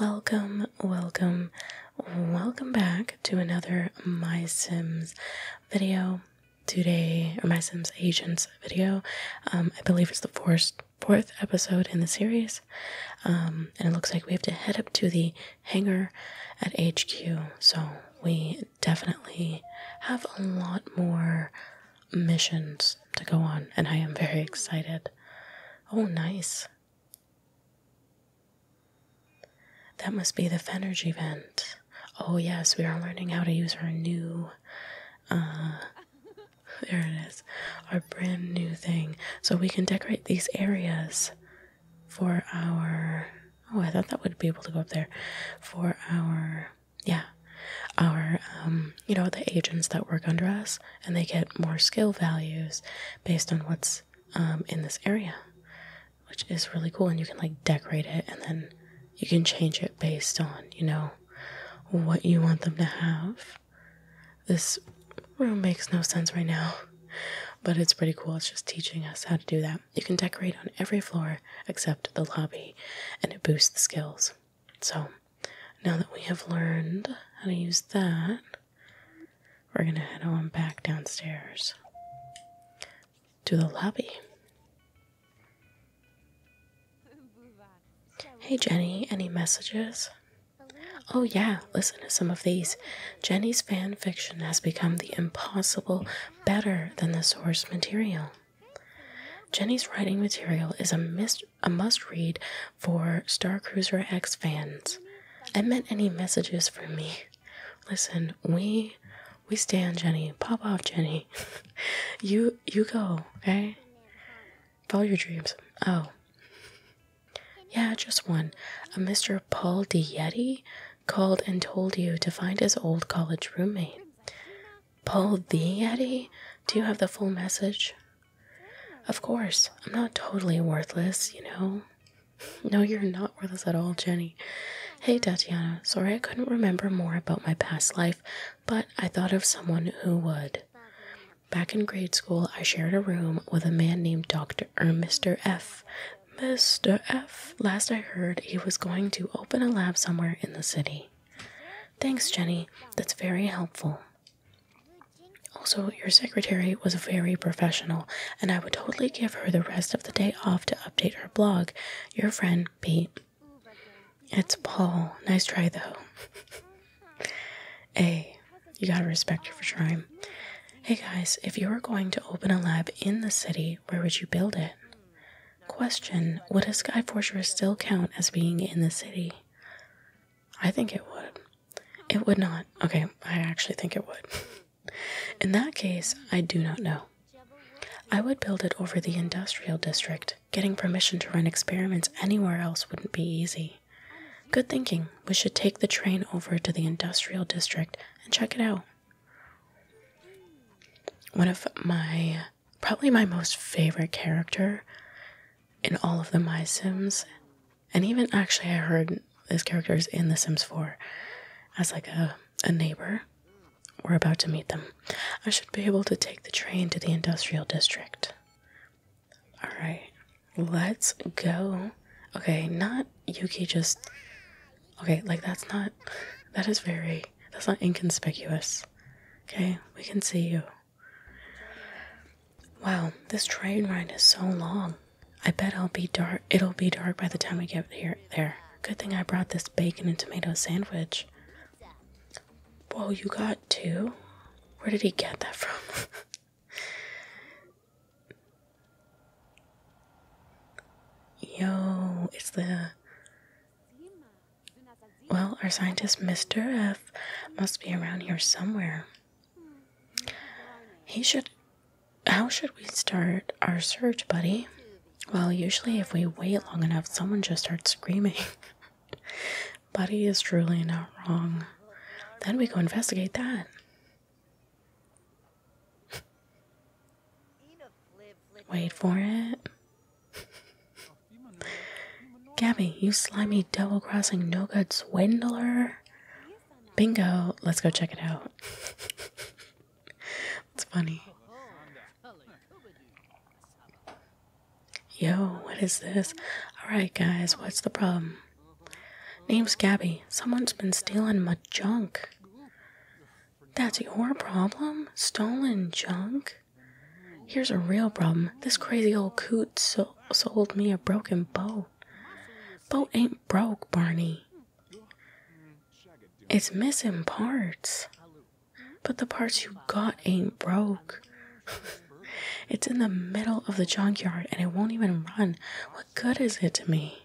Welcome, welcome, welcome back to another My Sims video. Today, or My Sims Agents video. Um, I believe it's the fourth, fourth episode in the series. Um, and it looks like we have to head up to the hangar at HQ. So we definitely have a lot more missions to go on, and I am very excited. Oh, nice. That must be the Fenergy vent. Oh, yes, we are learning how to use our new. Uh, there it is. Our brand new thing. So we can decorate these areas for our. Oh, I thought that would be able to go up there. For our. Yeah. Our um, you know, the agents that work under us and they get more skill values based on what's um, in this area, which is really cool. And you can like decorate it and then you can change it based on, you know, what you want them to have. This room makes no sense right now, but it's pretty cool. It's just teaching us how to do that. You can decorate on every floor except the lobby, and it boosts the skills. So, now that we have learned how to use that, we're going to head on back downstairs to the lobby. Hey Jenny, any messages? Oh, yeah, listen to some of these. Jenny's fan fiction has become the impossible better than the source material. Jenny's writing material is a mis a must read for Star Cruiser X fans. I meant any messages for me. Listen, we we stand Jenny. Pop off Jenny. you you go, okay? Follow your dreams. Oh. Yeah, just one. A Mr. Paul D. Yeti called and told you to find his old college roommate. Paul the Yeti? Do you have the full message? Of course, I'm not totally worthless, you know? No, you're not worthless at all, Jenny. Hey, Tatiana, sorry I couldn't remember more about my past life, but I thought of someone who would. Back in grade school, I shared a room with a man named Dr. or Mr. F. Mr. F. Last I heard, he was going to open a lab somewhere in the city. Thanks, Jenny. That's very helpful. Also, your secretary was very professional, and I would totally give her the rest of the day off to update her blog. Your friend, Pete. It's Paul. Nice try, though. hey, you gotta respect her for trying. Hey guys, if you were going to open a lab in the city, where would you build it? Question Would a Sky Fortress still count as being in the city? I think it would. It would not. Okay, I actually think it would. In that case, I do not know. I would build it over the industrial district. Getting permission to run experiments anywhere else wouldn't be easy. Good thinking. We should take the train over to the industrial district and check it out. One of my probably my most favorite character in all of the My Sims, and even actually, I heard his character is in The Sims 4 as like a a neighbor. We're about to meet them. I should be able to take the train to the industrial district. All right, let's go. Okay, not Yuki. Just okay. Like that's not. That is very. That's not inconspicuous. Okay, we can see you. Wow, this train ride is so long. I bet it'll be dark. It'll be dark by the time we get here. There. Good thing I brought this bacon and tomato sandwich. Whoa, you got two? Where did he get that from? Yo, it's the well, our scientist, Mr. F, must be around here somewhere. He should. How should we start our search, buddy? Well, usually if we wait long enough, someone just starts screaming. buddy is truly not wrong. Then we go investigate that. Wait for it. Gabby, you slimy, double crossing, no good swindler. Bingo. Let's go check it out. It's funny. Yo, what is this? Alright, guys, what's the problem? Name's Gabby. Someone's been stealing my junk. That's your problem? Stolen junk? Here's a real problem. This crazy old coot sold me a broken boat. Boat ain't broke, Barney. It's missing parts. But the parts you got ain't broke. it's in the middle of the junkyard and it won't even run. What good is it to me?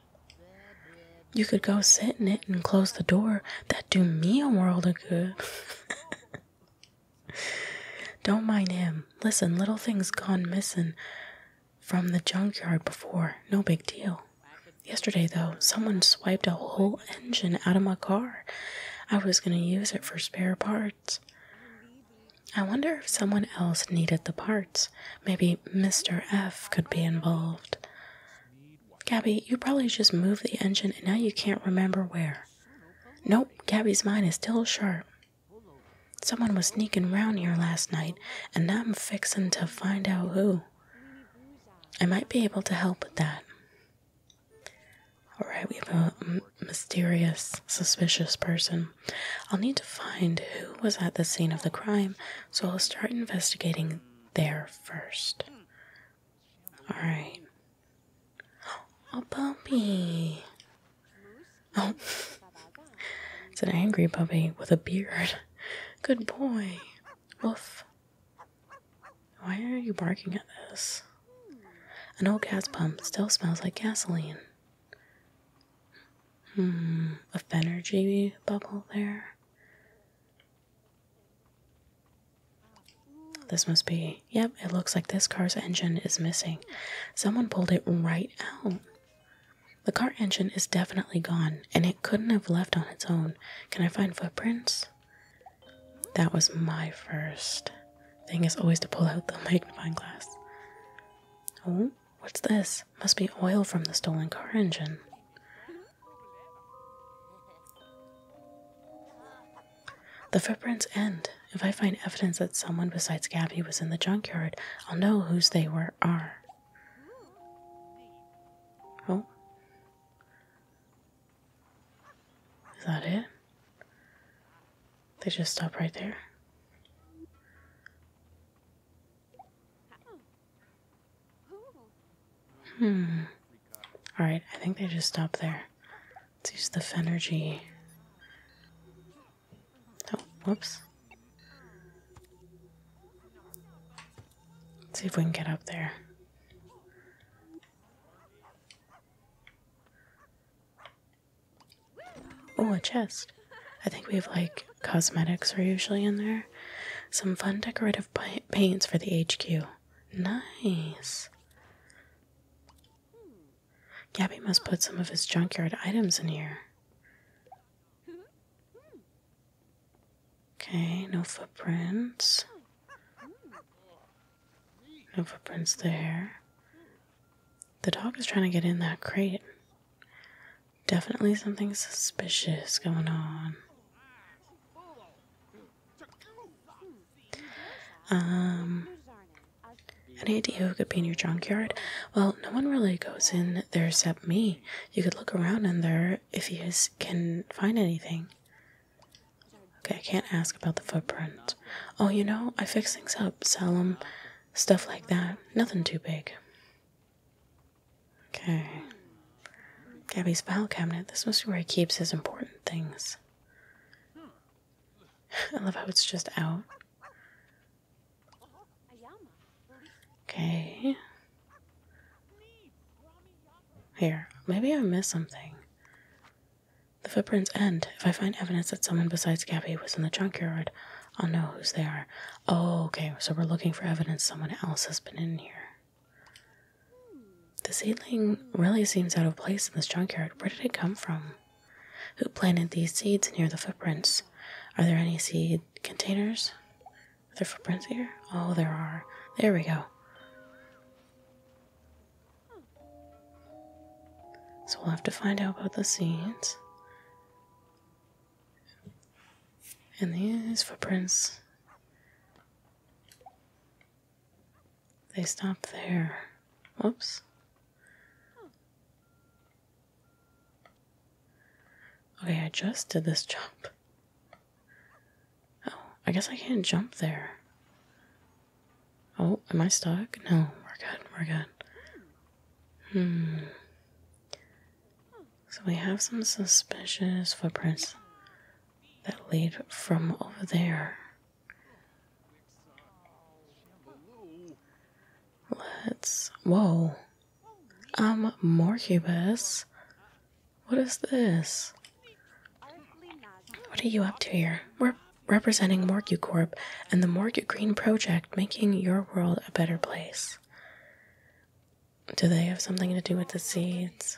You could go sit in it and close the door. That'd do me a world of good. Don't mind him. Listen, little thing's gone missing from the junkyard before. No big deal. Yesterday, though, someone swiped a whole engine out of my car. I was going to use it for spare parts. I wonder if someone else needed the parts. Maybe Mr. F could be involved. Gabby, you probably just moved the engine and now you can't remember where. Nope, Gabby's mind is still sharp. Someone was sneaking round here last night, and I'm fixin' to find out who. I might be able to help with that. Alright, we have a mysterious, suspicious person. I'll need to find who was at the scene of the crime, so I'll start investigating there first. Alright, a puppy. Oh, it's an angry puppy with a beard. Good boy. Woof. Why are you barking at this? An old cat's pump still smells like gasoline. Hmm, a Fenergy bubble there. This must be. Yep, it looks like this car's engine is missing. Someone pulled it right out. The car engine is definitely gone, and it couldn't have left on its own. Can I find footprints? That was my first thing is always to pull out the magnifying glass. Oh, what's this? Must be oil from the stolen car engine. The footprints end. If I find evidence that someone besides Gabby was in the junkyard, I'll know whose they were are. Oh. Is that it? They just stop right there. Hmm. Alright, I think they just stop there. Let's use the Fenergy. Oh, whoops. see if we can get up there. Oh, a chest. I think we have like cosmetics are usually in there. Some fun decorative paints for the HQ. Nice. Gabby must put some of his junkyard items in here. Okay, no footprints. No footprints there. The dog is trying to get in that crate. Definitely something suspicious going on. Um, any idea who could be in your junkyard? Well, no one really goes in there except me. You could look around in there if you can find anything. Okay, I can't ask about the footprint. Oh, you know, I fix things up, sell 'em, stuff like that. Nothing too big. Okay. Gabby's file cabinet. This must be where he keeps his important things. I love how it's just out. Okay. Here, maybe I missed something. The footprints end. If I find evidence that someone besides Gabby was in the junkyard, I'll know who's there. Oh, okay, so we're looking for evidence someone else has been in here. The seedling really seems out of place in this junkyard. Where did it come from? Who planted these seeds near the footprints? Are there any seed containers? Are there footprints here? Oh, there are. There we go. So we'll have to find out about the seeds. And these footprints they stop there. Whoops. Okay, I just did this jump. Oh, I guess I can't jump there. Oh, am I stuck? No, we're good, we're good. Hmm. So we have some suspicious footprints that lead from over there. Let's. Whoa. Um, Morcubus. What is this? What are you up to here? We're representing Corp and the Morcu Green Project, making your world a better place. Do they have something to do with the seeds?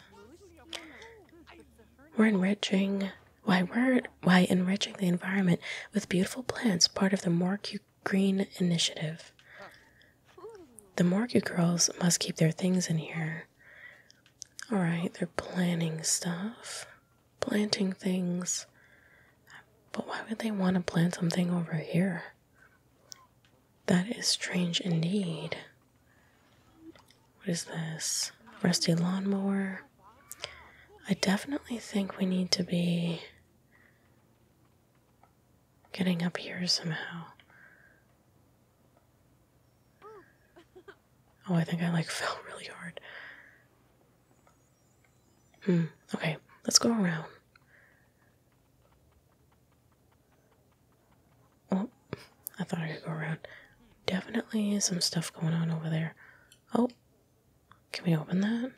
We're enriching why, weren't why enriching the environment with beautiful plants, part of the Morcu Green Initiative. The Morcu girls must keep their things in here. Alright, they're planning stuff, planting things. But why would they want to plant something over here? That is strange indeed. What is this? Rusty lawnmower. I definitely think we need to be getting up here somehow. Oh, I think I like fell really hard. Hmm, okay, let's go around. Oh, I thought I could go around. Definitely some stuff going on over there. Oh, can we open that?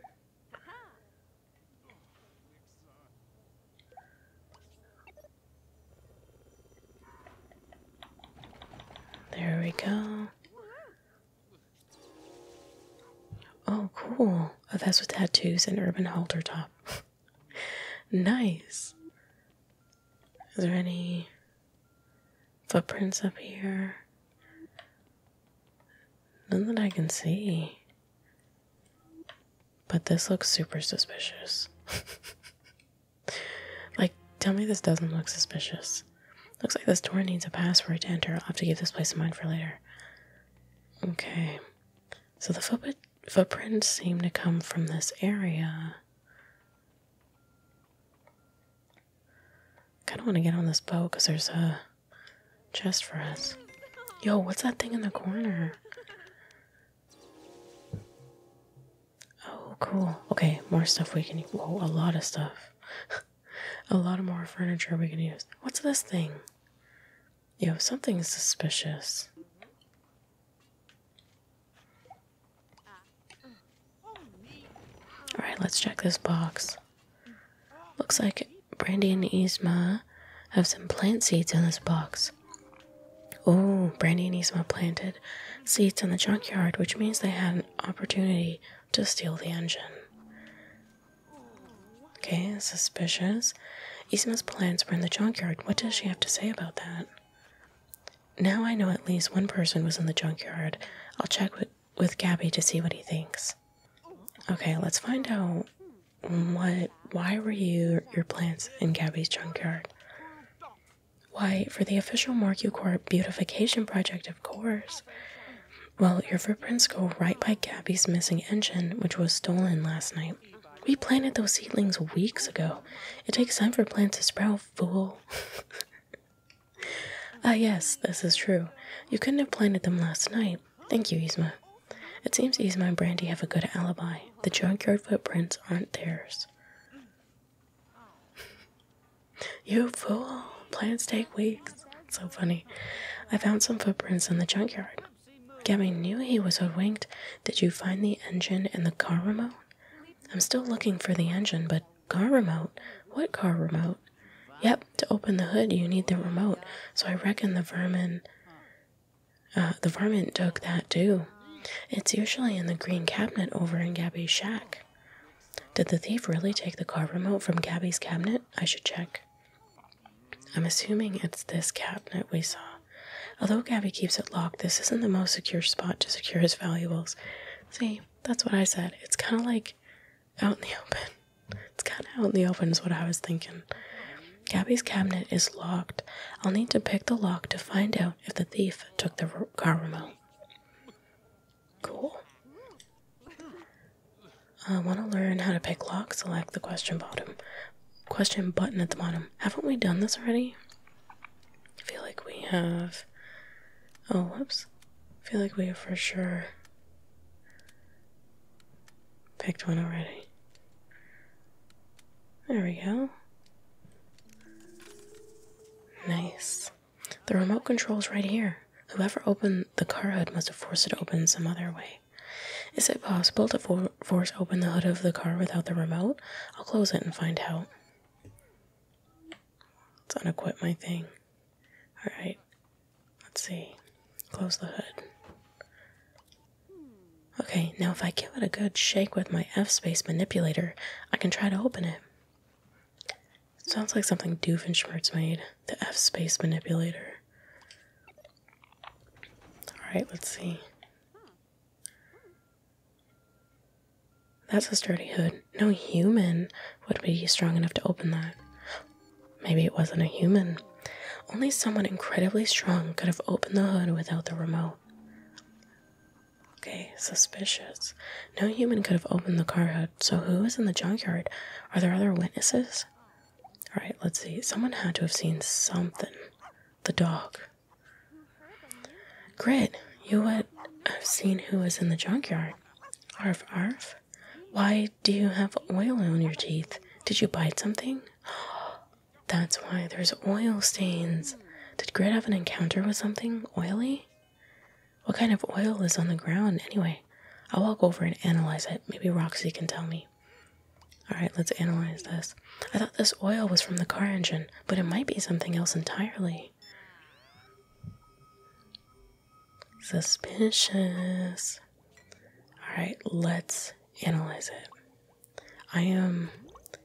There we go. Oh, cool. Oh, that's with tattoos and urban halter top. nice. Is there any Footprints up here. None that I can see. But this looks super suspicious. like, tell me this doesn't look suspicious. Looks like this door needs a password to enter. I'll have to keep this place in mind for later. Okay. So the footprints seem to come from this area. Kind of want to get on this boat because there's a chest for us. Yo, what's that thing in the corner? Oh, cool. Okay, more stuff we can. Whoa, oh, a lot of stuff. a lot of more furniture we can use. What's this thing? Yo, something suspicious. Alright, let's check this box. Looks like Brandy and Isma have some plant seeds in this box. Oh, Brandy and Isma planted seeds in the junkyard, which means they had an opportunity to steal the engine. Okay, suspicious. Isma's plants were in the junkyard. What does she have to say about that? Now I know at least one person was in the junkyard. I'll check with, Gabby to see what he thinks. Okay, let's find out what why were you your plants in Gabby's junkyard? Why, for the official Marku Corp beautification project, of course. Well, your footprints go right by Gabby's missing engine, which was stolen last night. We planted those seedlings weeks ago. It takes time for plants to sprout, fool. ah, yes, this is true. You couldn't have planted them last night. Thank you, Yzma. It seems Yzma and Brandy have a good alibi. The junkyard footprints aren't theirs. you fool. Plants take weeks. so funny. I found some footprints in the junkyard. Gabby knew he was winked. Did you find the engine in the car remote? I'm still looking for the engine, but car remote? What car remote? Yep, to open the hood you need the remote, so I reckon the vermin uh, the vermin took that too. It's usually in the green cabinet over in Gabby's shack. Did the thief really take the car remote from Gabby's cabinet? I should check. I'm assuming it's this cabinet we saw. Although Gabby keeps it locked, this isn't the most secure spot to secure his valuables. See, that's what I said. It's kind of like out in the open. It's kind of out in the open, is what I was thinking. Gabby's cabinet is locked. I'll need to pick the lock to find out if the thief took the car Cool. I want to learn how to pick locks. Select the question bottom, question button at the bottom. Haven't we done this already? feel like we have. Oh, whoops. feel like we have for sure picked one already. There we go. Nice. The remote control's right here. Whoever opened the car hood must have forced it open some other way. Is it possible to force open the hood of the car without the remote? I'll close it and find out. Let's unequip my thing. Alright. Let's see. Close the hood. Okay, now if I give it a good shake with my F space manipulator, I can try to open it. sounds like something Doofenshmirtz made. The F space manipulator. Alright, let's see. That's a sturdy hood. No human would be strong enough to open that. Maybe it wasn't a human. Only someone incredibly strong could have opened the hood without the remote. Okay, suspicious. No human could have opened the car hood, so who was in the junkyard? Are there other witnesses? Alright, let's see. Someone had to have seen something. The dog. Grit, you would have seen who was in the junkyard. Arf, arf. Why do you have oil on your teeth? Did you bite something? That's why there's oil stains. Did Grit have an encounter with something oily? What kind of oil is on the ground anyway? I'll walk over and analyze it. Maybe Roxy can tell me. Alright, let's analyze this. I thought this oil was from the car engine, but it might be something else entirely. Suspicious. Alright, let's analyze it. I am.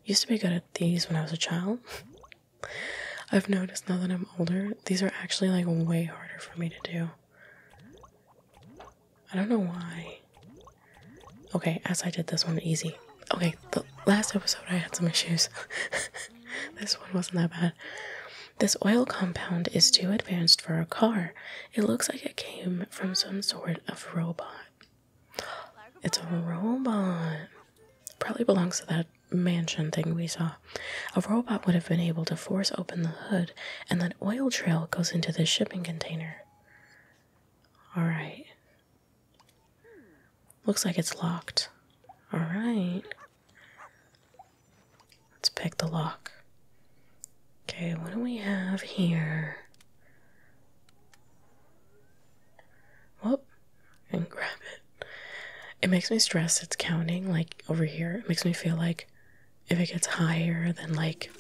used to be good at these when I was a child. I've noticed now that I'm older, these are actually like way harder for me to do. I don't know why. Okay, as I did this one easy. Okay, the last episode I had some issues. this one wasn't that bad. This oil compound is too advanced for a car. It looks like it came from some sort of robot. It's a robot. Probably belongs to that mansion thing we saw. A robot would have been able to force open the hood, and that oil trail goes into the shipping container. Alright, Looks like it's locked. Alright. Let's pick the lock. Okay, what do we have here? Whoop. And grab it. It makes me stress. it's counting, like, over here. It makes me feel like if it gets higher, then, like,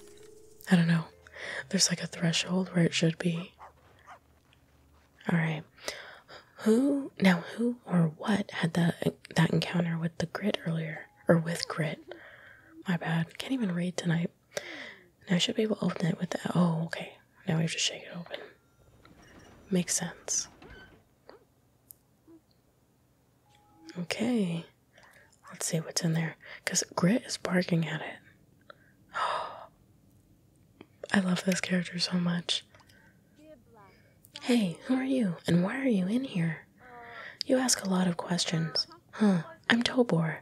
I don't know. There's like a threshold where it should be. All right. Who now? Who or what had that that encounter with the grit earlier, or with grit? My bad. Can't even read tonight. Now I should be able to open it with the. Oh, okay. Now we have to shake it open. Makes sense. Okay. Let's see what's in there. Because Grit is barking at it. I love this character so much. Hey, who are you and why are you in here? You ask a lot of questions. Huh, I'm Tobor.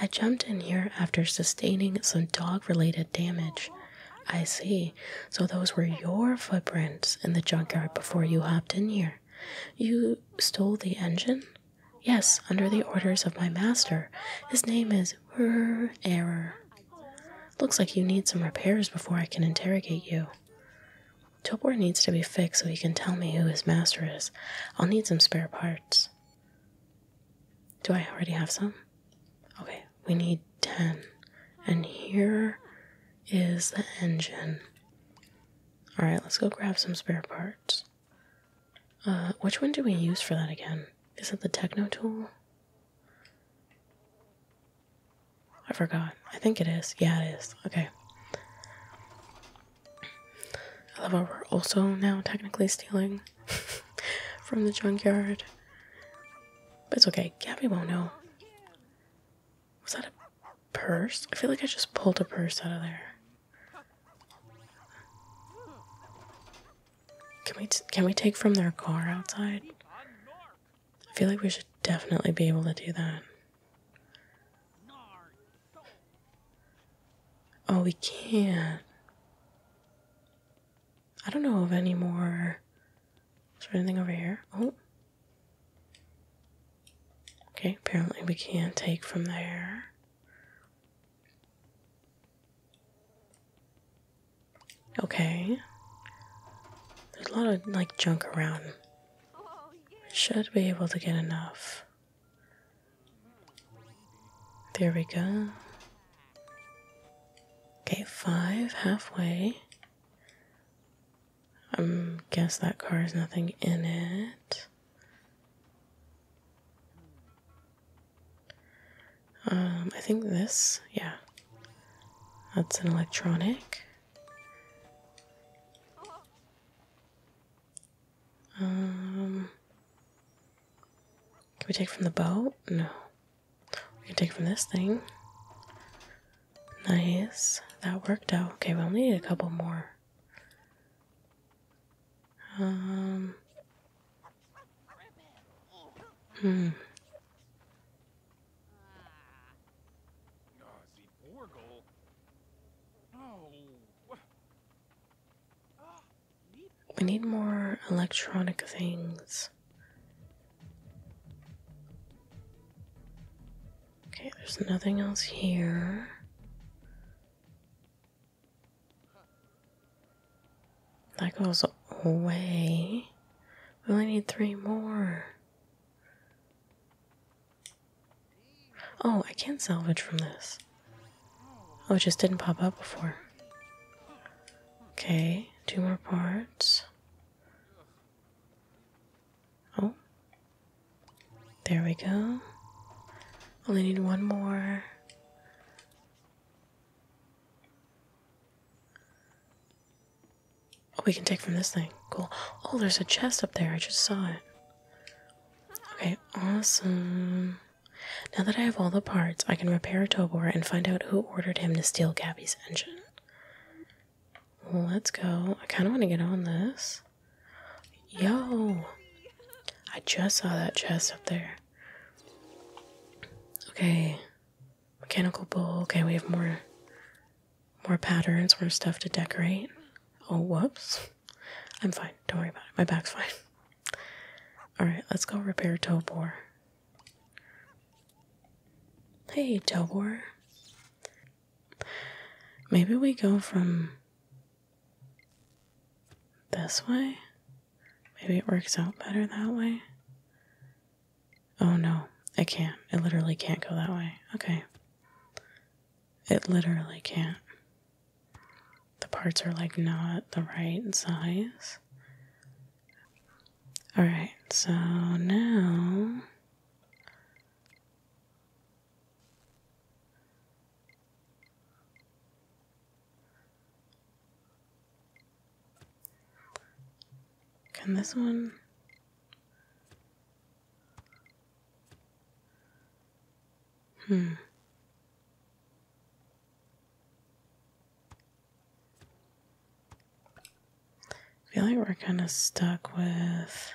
I jumped in here after sustaining some dog related damage. I see. So those were your footprints in the junkyard before you hopped in here. You stole the engine? Yes, under the orders of my master. His name is Rrr Error. Looks like you need some repairs before I can interrogate you. Tobor needs to be fixed so he can tell me who his master is. I'll need some spare parts. Do I already have some? Okay, we need 10. And here is the engine. Alright, let's go grab some spare parts. Uh, which one do we use for that again? Is it the techno tool? I forgot. I think it is. Yeah, it is. Okay. I love how we're also now technically stealing from the junkyard. But it's okay. Gabby won't know. Was that a purse? I feel like I just pulled a purse out of there. Can we can we take from their car outside? I feel like we should definitely be able to do that. Oh, we can't. I don't know of any more. Is there anything over here? Oh. Okay, apparently we can't take from there. Okay. There's a lot of like junk around. Should be able to get enough. There we go. Okay, five halfway. I um, guess that car has nothing in it. Um, I think this, yeah. That's an electronic. Um, can we take from the boat? No. We can take from this thing. Nice. That worked out. Okay, we'll need a couple more. Um, hmm. We need more electronic things. Okay, there's nothing else here. That goes away. We only need three more. Oh, I can salvage from this. Oh, it just didn't pop up before. Okay, two more parts. Oh. There we go. Only need one more. Oh, we can take from this thing. Cool. Oh, there's a chest up there. I just saw it. Okay, awesome. Now that I have all the parts, I can repair Tobor and find out who ordered him to steal Gabby's engine. let's go. I kind of want to get on this. Yo! I just saw that chest up there. Okay. Mechanical bowl. Okay, we have more more patterns, more stuff to decorate. Oh whoops. I'm fine. Don't worry about it. My back's fine. Alright, let's go repair Tobor. Hey Tobor. Maybe we go from this way? Maybe it works out better that way? Oh no, it can't. It literally can't go that way. Okay. It literally can't. The parts are like not the right size. Alright, so now can this one? Hmm. I feel like we're kind of stuck with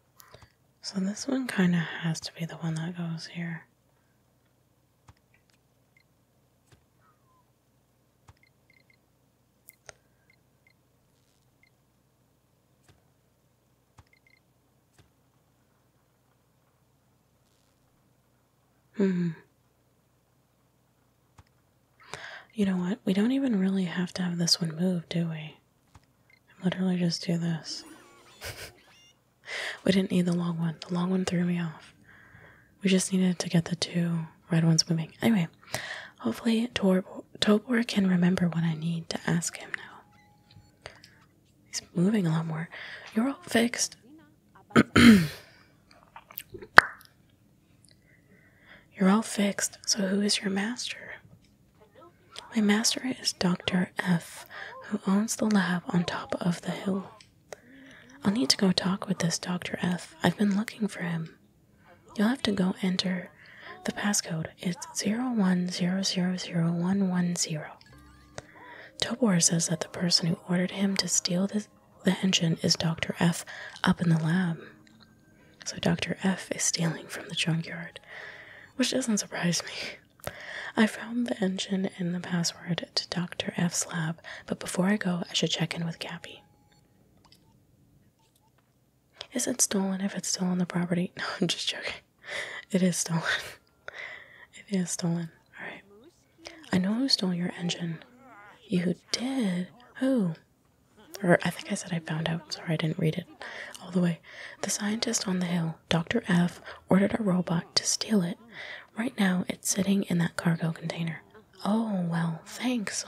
So this one kind of has to be the one that goes here. Hmm. You know what? We don't even really have to have this one move, do we? and literally just do this. we didn't need the long one. The long one threw me off. We just needed to get the two red ones moving. Anyway, hopefully Tor Tobor can remember what I need to ask him now. He's moving a lot more. You're all fixed. You're all fixed, so who is your master? My master is Dr. F, who owns the lab on top of the hill. I'll need to go talk with this Dr. F. I've been looking for him. You'll have to go enter the passcode. It's 010000110. Tobor says that the person who ordered him to steal the engine is Dr. F up in the lab. So Dr. F is stealing from the junkyard, which doesn't surprise me. I found the engine and the password to Dr. F's lab, but before I go, I should check in with Gabby. Is it stolen if it's still on the property? No, I'm just joking. It is stolen. It is stolen. Alright. I know who stole your engine. You did? Who? Or I think I said I found out. Sorry, I didn't read it all the way. The scientist on the hill. Dr. F ordered a robot to steal it. Right now, it's sitting in that cargo container. Oh, well, thanks.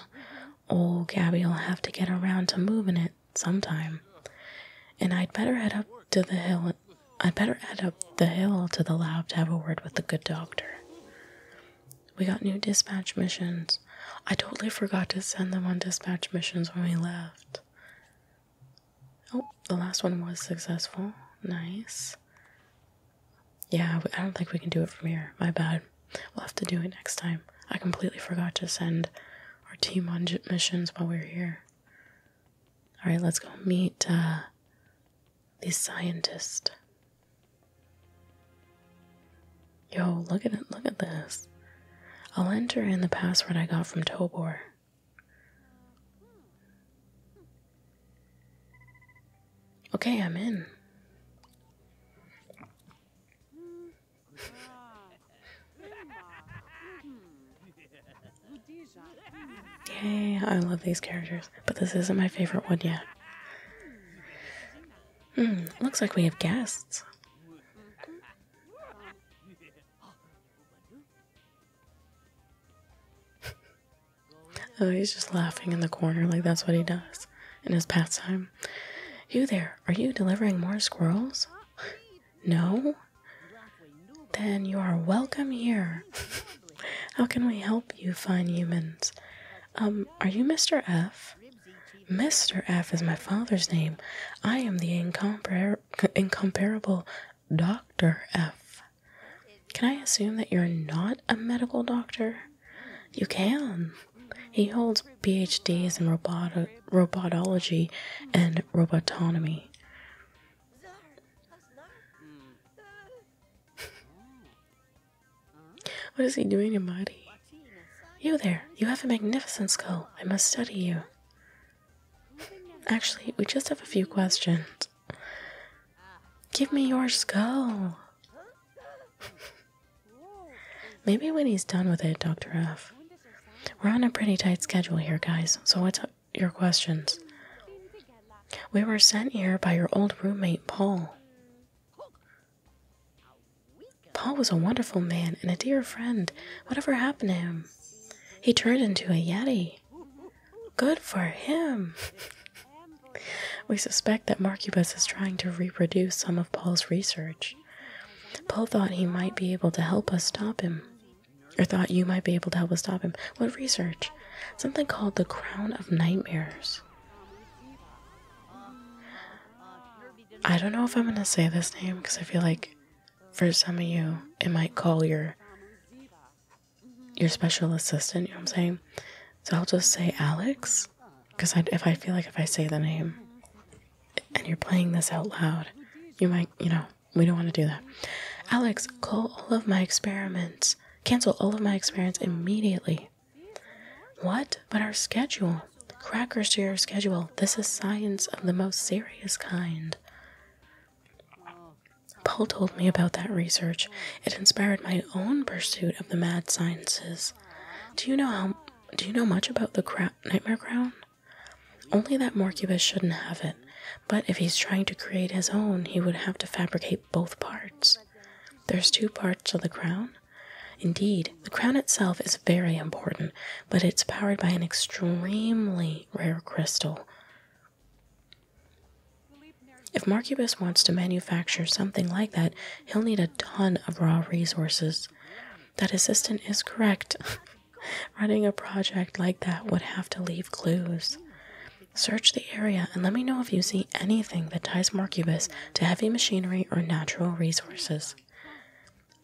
Old Gabby'll have to get around to moving it sometime. And I'd better head up to the hill. I'd better head up the hill to the lab to have a word with the good doctor. We got new dispatch missions. I totally forgot to send them on dispatch missions when we left. Oh, the last one was successful. Nice. Yeah, I don't think we can do it from here. My bad. We'll have to do it next time. I completely forgot to send our team on missions while we are here. Alright, let's go meet uh, the scientist. Yo, look at it. Look at this. I'll enter in the password I got from Tobor. Okay, I'm in. Yay, I love these characters, but this isn't my favorite one yet. Hmm, looks like we have guests oh, he's just laughing in the corner like that's what he does in his pastime. You there, are you delivering more squirrels? no? Then you are welcome here. How can we help you, find humans? Um, are you Mr. F? Mr. F is my father's name. I am the incompar incomparable Dr. F. Can I assume that you're not a medical doctor? You can. He holds PhDs in robotology and robotonomy. what is he doing in body? You there, you have a magnificent skull. I must study you. Actually, we just have a few questions. Give me your skull. Maybe when he's done with it, Dr. F. We're on a pretty tight schedule here, guys, so what's your questions? We were sent here by your old roommate, Paul. Paul was a wonderful man and a dear friend. Whatever happened to him? He turned into a Yeti. Good for him! we suspect that Marcubus is trying to reproduce some of Paul's research. Paul thought he might be able to help us stop him. Or thought you might be able to help us stop him. What research? Something called the Crown of Nightmares. I don't know if I'm going to say this name because I feel like for some of you, it might call your your special assistant. You know what I'm saying? So I'll just say Alex, because if I feel like if I say the name, and you're playing this out loud, you might you know we don't want to do that. Alex, call all of my experiments. Cancel all of my experiments immediately. What? But our schedule. Crackers to your schedule. This is science of the most serious kind. Paul told me about that research. It inspired my own pursuit of the mad sciences. Do you know how? Do you know much about the cra nightmare crown? Only that Morcubus shouldn't have it. But if he's trying to create his own, he would have to fabricate both parts. There's two parts to the crown. Indeed, the crown itself is very important, but it's powered by an extremely rare crystal. If Marcubus wants to manufacture something like that, he'll need a ton of raw resources. That assistant is correct. Running a project like that would have to leave clues. Search the area and let me know if you see anything that ties Marcubus to heavy machinery or natural resources.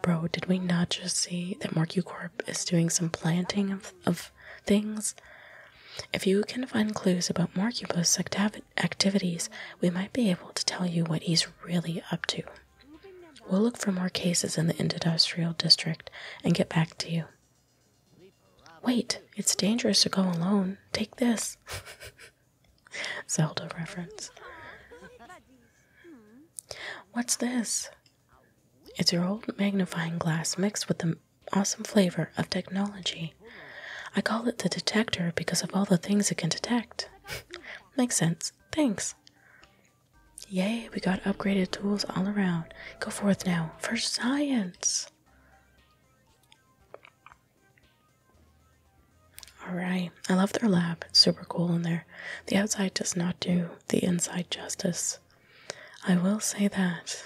Bro, did we not just see that MorcuCorp is doing some planting of, of things? If you can find clues about Morcupus activ activities, we might be able to tell you what he's really up to. We'll look for more cases in the industrial district and get back to you. Wait, it's dangerous to go alone. Take this. Zelda reference. What's this? It's your old magnifying glass mixed with the awesome flavor of technology. I call it the detector because of all the things it can detect. Makes sense. Thanks. Yay, we got upgraded tools all around. Go forth now for science. All right, I love their lab. super cool in there. The outside does not do the inside justice. I will say that.